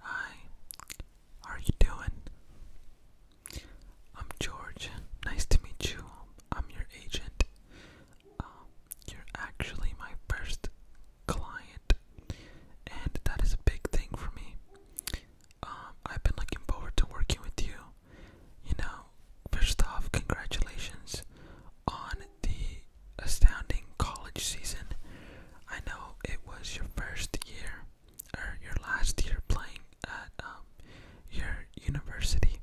Hi, how are you doing? I'm George. Nice to meet you. I'm your agent. Um, you're actually my first client, and that is a big thing for me. Um, I've been looking forward to working with you. You know, first off, congratulations on the astounding college season. I know it was your first year or your last year playing at um, your university.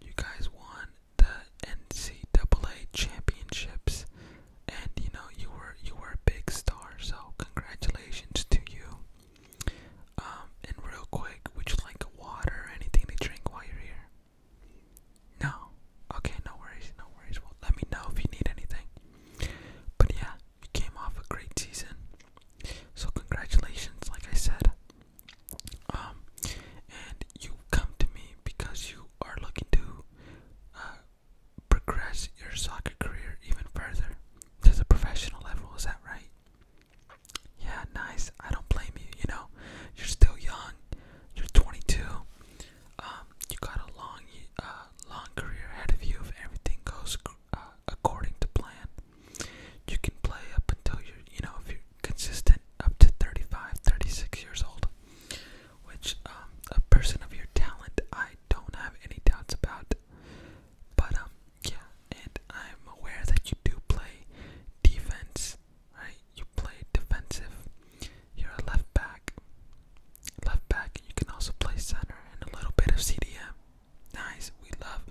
You guys won the NCAA championships, and you know you were you were a big star. So congratulations to you. Um, and real quick, would you like water or anything to drink while you're here? No. Okay, no worries, no worries. let me know if you need anything. But yeah, you came off a great season. So congratulations, like I said. Um, and you come to me because you are looking to uh, progress your soccer career even further to the professional level. Is that right? Yeah, nice. I don't blame you. You know, you're still young. You're 22. Um, you got a long, uh, long career ahead of you if everything goes uh, according to plan. You can play up until you're, you know, if you're consistent up to 35, 36 years old. Which, um, a person of your talent, I don't have any doubts about. But, um, yeah, and I'm aware that you do play defense right? You play defensive. You're a left back. Left back. You can also play center and a little bit of CDM. Nice. We love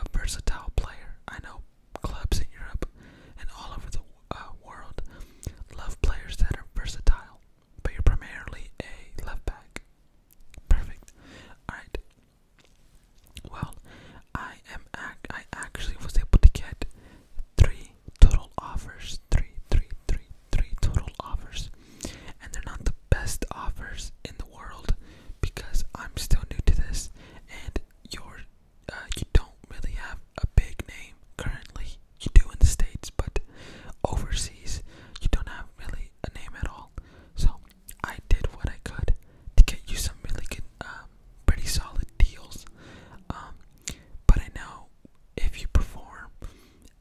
a versatile player. I know clubs in Europe and all over the uh, world love players that are versatile, but you're primarily a left back. Perfect. All right. Well, I am. I actually was able to get three total offers. Three, three, three, three total offers. And they're not the best offers in the world because I'm still new to this and you're uh, you don't really have a big name currently. You do in the States, but overseas you don't have really a name at all. So I did what I could to get you some really good, um, pretty solid deals. Um, but I know if you perform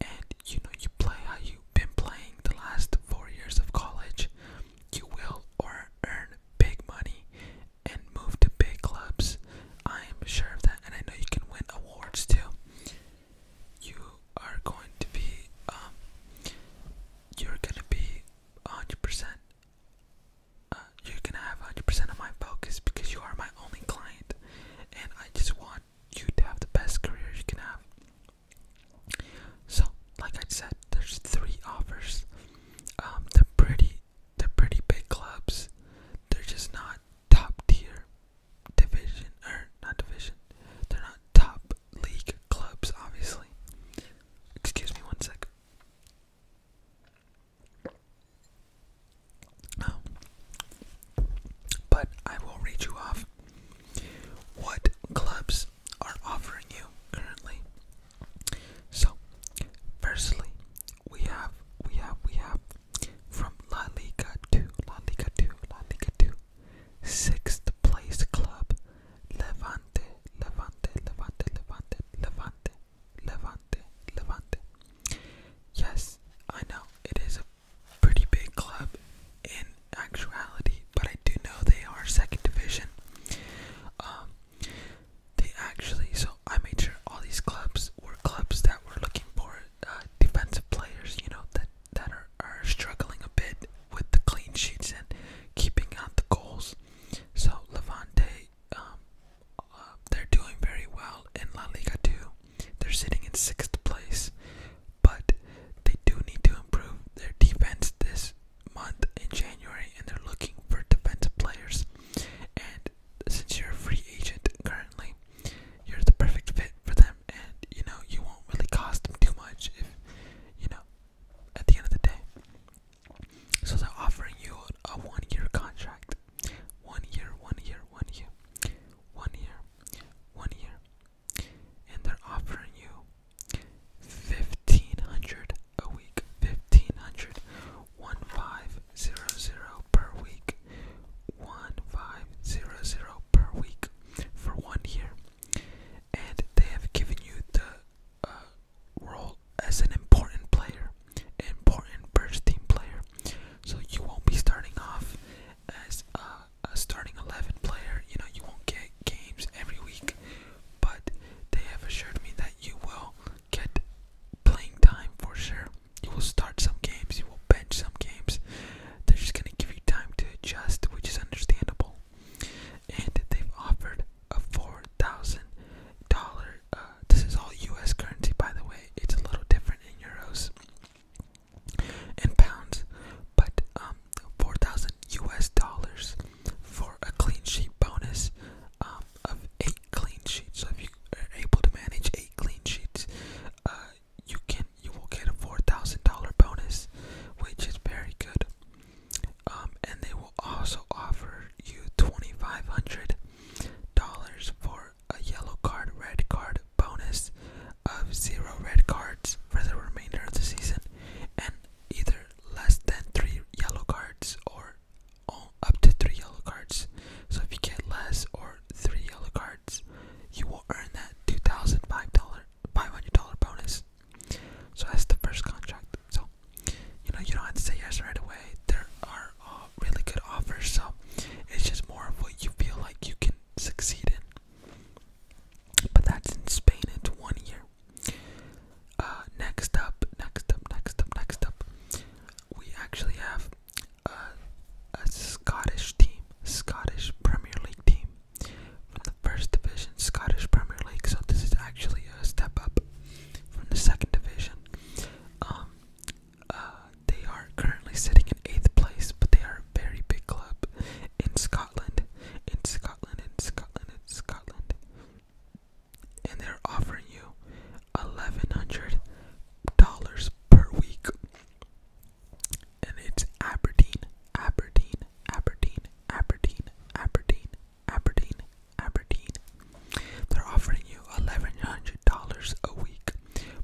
and you know you play how you've been playing the last four years of college, you will or earn big money and move to big clubs. I am sure of that, and I know you can win awards too. You are going to be um, you're gonna be hundred percent uh, gonna have 100% of my focus because you are my only client, and I just want you to have the best career you can have. So, like I said, there's three offers. Um, they're pretty, they're pretty big clubs. They're just not top tier division or not division. They're not top league clubs, obviously. Excuse me one second. Um, but I will read you off what clubs are offering you currently. So, firstly, we have, we have, we have from La Liga 2, La Liga 2, La Liga 2, sixth place club, Levante, Levante, Levante, Levante, Levante. Levante, Levante. Yes, I know it is a pretty big club in actuality, but I do know they are second division. Um, they actually, so I made sure all these clubs were clubs that were looking for uh, defensive players, you know, that that are, are struggling a bit with the clean sheets and keeping out the goals. So Levante um, they're doing very well in La Liga too. They're sitting in sixth place, but they do need to improve their defense this month in January, and they're looking for defensive players. And since you're a free agent currently, you're the perfect fit for them, and you know you won't really cost them too much if you know at the end of the day. So they're offering you a one year contract. One year, one year, one year, one year, one year. And they're offering you fifteen hundred a week. Fifteen hundred one five zero zero per week. One five zero zero per week for one year. And they have given you the uh, role as an important player, an important first team player. So you won't be starting off as a, a starting 11 player. You know, you won't get games every week, but they have assured me that you will get playing time for sure. You will start some games, you will bench some games. They're just going to give you time to adjust, which is understandable. And they've offered a four thousand dollar. Uh, this is all U.S. currency, by the way. It's a little different in euros and pounds, but um, four thousand U.S. dollars for a clean sheet bonus um, of eight clean sheets. So if you are able to manage eight clean sheets, uh, you can you will get a four thousand dollar bonus, which is very good. Um, and they will also offer you twenty five hundred dollars for a yellow card, red card bonus of zero red cards for the remainder of the season, and either less than three yellow cards or up to three yellow cards. So if you get less or three yellow cards, you will earn that two thousand five dollar five hundred dollar bonus. So that's the first contract. So you know you don't have to say yes right away there are uh, really good offers so it's just more of what you feel like you can succeed in but that's in spain it's one year uh, next up next up next up next up we actually have a scottish team scottish premier league team from the first division scottish premier league so this is actually a step up from the second division um, uh, they are currently sitting in eighth place, but they are a very big club in Scotland, in Scotland, in Scotland, in Scotland, and they're offering you eleven hundred dollars per week, and it's Aberdeen, Aberdeen, Aberdeen, Aberdeen, Aberdeen, Aberdeen, Aberdeen. They're offering you $1,100 a week,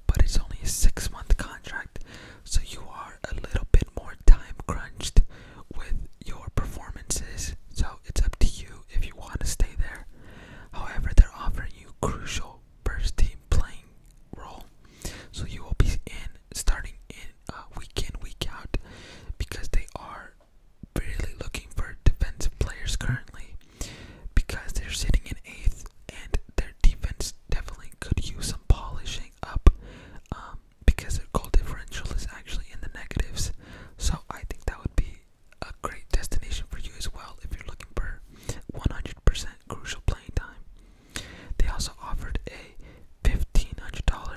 but it's only a six month contract, so you are a little bit more time crunched with your performances. So it's up to you if you want to stay there. However, they're offering you crucial first team playing role, so you will be in starting in uh, week in, week out because they are really looking for defensive players currently because they're sitting in eighth and their defense definitely could use some polishing up um, because their goal differential is actually in the negatives. So I think that would be a great destination for you as well if you're looking for 100% crucial playing time. They also offered a $1,500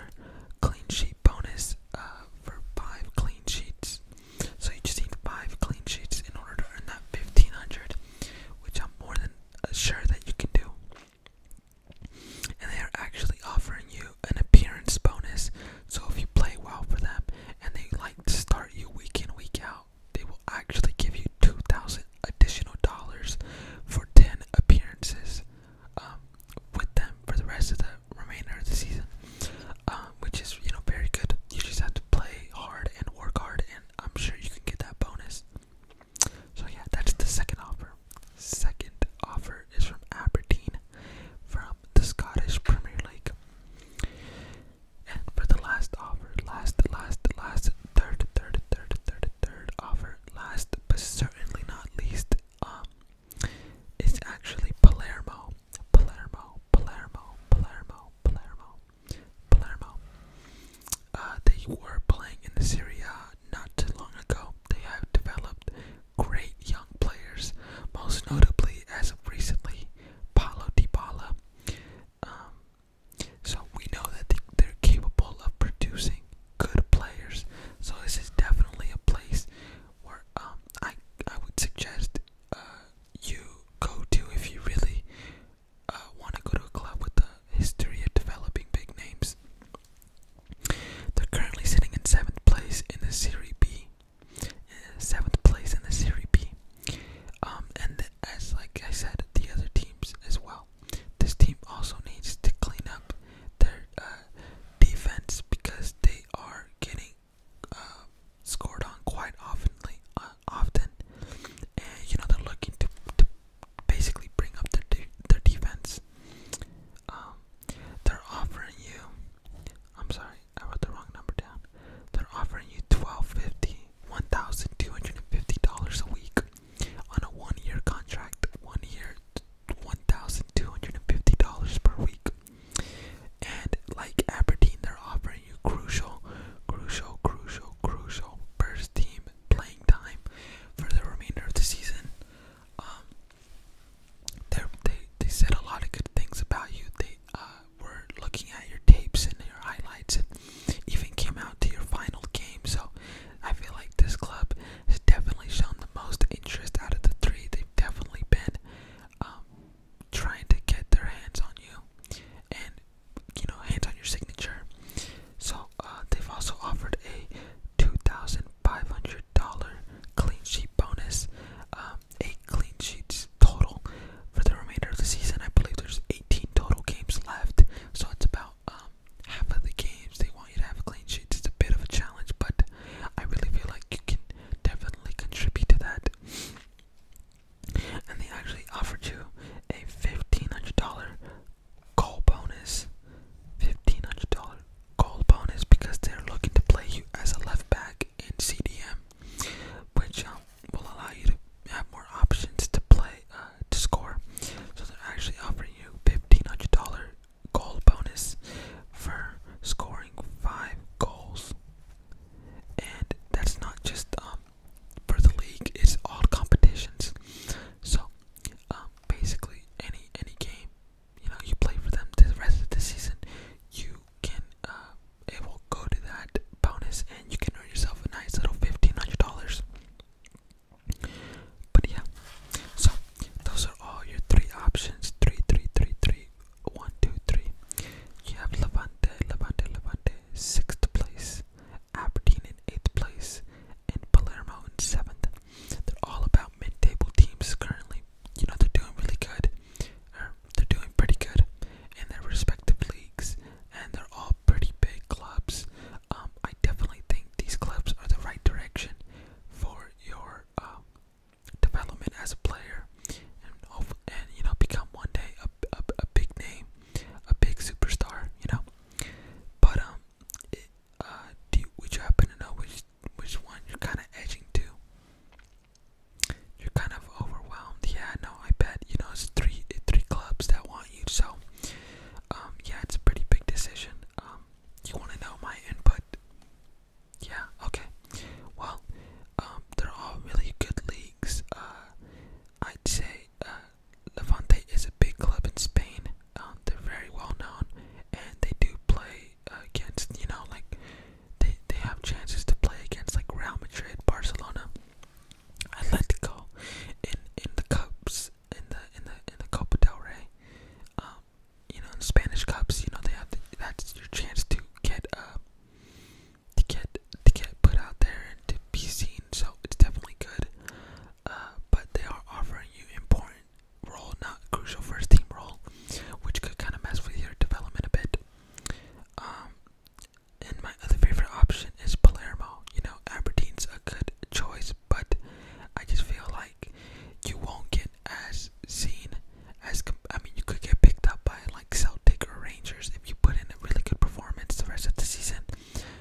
clean sheet sheet bonus uh, for five clean sheets. So you just need five clean sheets in order to earn that 1500, which I'm more than uh, sure that you can do. And they are actually offering you an appearance bonus. So if you play well for them and they like to start you week in, week out, they will actually give you 2000 additional dollars for 10 appearances um, with them for the rest of the remainder of the season, um, which is you know very good. You just have to play hard and work hard, and I'm sure you can get that bonus. So yeah, that's the second offer. Second offer is from Aberdeen, from the Scottish Premier League. And for the last offer, last, last, last, third, third, third, third, third offer, last, but certainly not least, um, is actually Palermo. Palermo, Palermo, Palermo, Palermo, Palermo. Uh, they were playing in the Serie A not too long ago. They have developed great young players, most notably as of recently, Paulo Dybala. Um, so we know that they, they're capable of producing good players. So this is definitely a place where um, I I would suggest uh, you go to if you really uh, want to go to a club with a history of developing big names. They're currently sitting in seventh place in the Serie B. Uh, seventh place in the Serie B. Um, and as like I said, the other teams as well. This team also needs to clean up their defense because they are getting uh, scored on quite often, uh, often, and you know they're looking to, to basically bring up their their defense. Um, they're offering you. I'm sorry, I wrote the wrong number down. They're offering you twelve fifty, one thousand two hundred and fifty dollars a week on a one year contract. One year, one thousand two hundred and fifty dollars per week. And like Aberdeen, they're offering you crucial, crucial, crucial, crucial first team playing time for the remainder of the season. Um, they they said a lot of good things about you. They uh, were looking at your tapes and your highlights, and even came out to your final game. So I feel like this club has definitely shown the most interest out of the three. They've definitely been um, trying to get their hands on you and you know hands on your signature so uh, they've also offered a $2500 clean sheet bonus um, eight clean sheets total for the remainder of the season i believe there's 18 total games left so it's about um, half of the games they want you to have a clean sheet. it's a bit of a challenge but i really feel like you can definitely contribute to that. And they actually offered you a $1,500 goal bonus. $1,500 goal bonus because they're looking to play you as a left back in CDM, which um, will allow you to have more options to play, uh, to score. So they're actually offering you $1,500 goal bonus for scoring five goals, and that's not just um, for the league; it's all competitions. So, um, basically, any any game you know you play for them the rest of the season, you can uh, it will go to that bonus, and you can earn yourself a nice little fifteen hundred dollars. But yeah, so those are all your three options: three, three, three, three one, two, three. You have Levante, Levante, Levante, sixth place, Aberdeen in eighth place, and Palermo in seventh. They're all about mid-table teams currently. You know they're doing really good, er, they're doing pretty good in their respective leagues, and they're all pretty big clubs. Um, I definitely think these clubs are the right direction for your um, development as a player, and you know become one day a, a, a big name, a big superstar. You know, but um, uh, do you, happen to know which which one you're kind of edging to? You're kind of overwhelmed. Yeah, no, I bet you know it's three three clubs that want you. So, um, yeah, it's a pretty big decision. Um, you want to know my input? Yeah, okay. Well, um, they're all really good leagues. Uh, I'd say uh, Levante is a big club in Spain. Um, they're very well known, and they do play against, you know, like they they have chances to play against like Real Madrid, Barcelona, Atletico, in in the cups, in the in the in the Copa del Rey. Um, you know, in Spanish cups, you know, they have to, that's your chance to get uh, to get to get put out there and to be seen. So it's definitely good. Uh, but they are offering you important role, not crucial first team role, which could kind of mess with your development a bit. Um, and my other favorite option is Palermo. You know, Aberdeen's a good choice, but I just feel like you won't get as seen as I mean you could get picked up by like Celtic or Rangers if you put in a really good performance the rest of the season,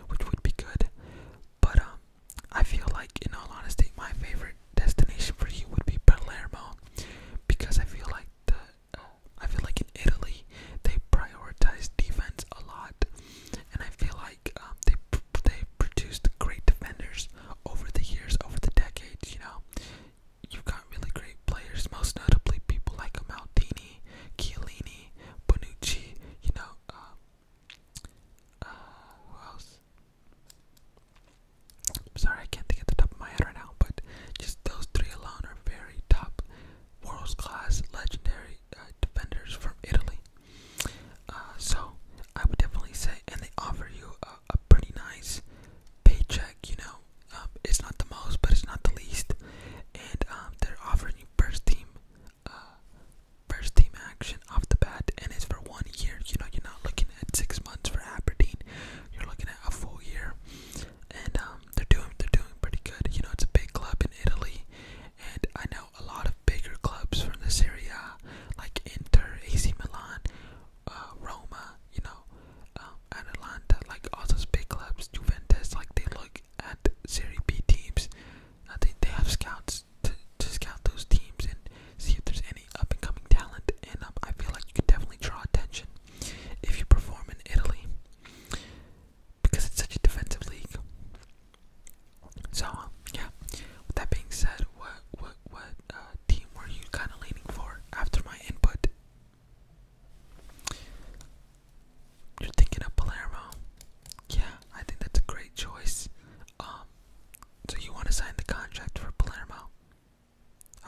which would be good. But um, I feel like in all honesty, my favorite destination for you would be Palermo because I feel like the uh, I feel like in Italy they prioritize defense a lot, and I feel like um, they they produced great defenders over the years, over the decades, you know. You've got really great players, most notably people like Maldini, Chiellini, Bonucci, you know, uh, uh, who else? I'm sorry, I can't think at the top of my head right now, but just those three alone are very top, world class, legendary uh, defenders from Italy. Uh, so I would definitely say, and they offer you a, a pretty nice paycheck, you know, um, it's not the most, but it's not the least, and um, they're offering you first team, uh, first team action off the bat, and it's for one year. You know, you're not looking at six months for Aberdeen, you're looking at a full year, and um, they're doing they're doing pretty good. You know, it's a big club in Italy, and I know a lot of bigger clubs from this area, like Inter, AC Milan, uh, Roma, you know, um, Atalanta, like all those big clubs, Juventus, like they look at Serie B teams. I uh, think they have scouts to, to scout those teams and see if there's any up and coming talent. And um, I feel like you could definitely draw attention if you perform in Italy because it's such a defensive league. So um, yeah, with that being said, what what uh, team were you kind of leaning for after my input? You're thinking of Palermo. Yeah, I think that's a great choice. Um, so you want to sign the contract for Palermo?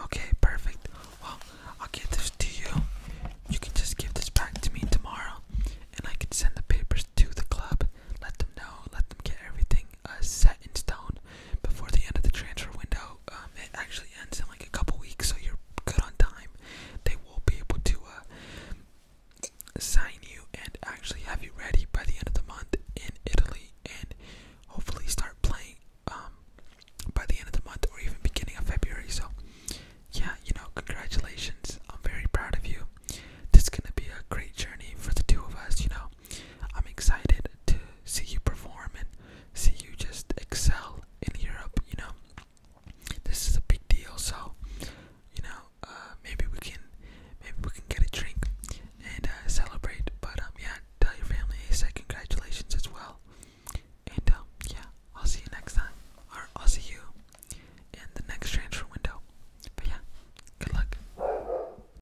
Okay, perfect. Well, I'll get this to you. You can just give this back to me tomorrow, and I can send the papers to the club. Let them know. Let them get everything uh, set in stone before the end of the transfer window. Um, it actually ends in like a couple weeks, so you're good on time. They will be able to assign uh, you and actually have you ready by the end of the month in Italy, and hopefully start playing um, by the end of the month or even beginning of February. So, yeah, you know, congratulations. I'm very proud of you. This is gonna be a great journey for the two of us. You know, I'm excited to see you perform and see you just excel in Europe, you know. This is a big deal, so you know, uh, maybe we can maybe we can get a drink and uh, celebrate. But um, yeah, tell your family I say congratulations as well. And um, yeah, I'll see you next time, or I'll see you in the next transfer window. But yeah, good luck.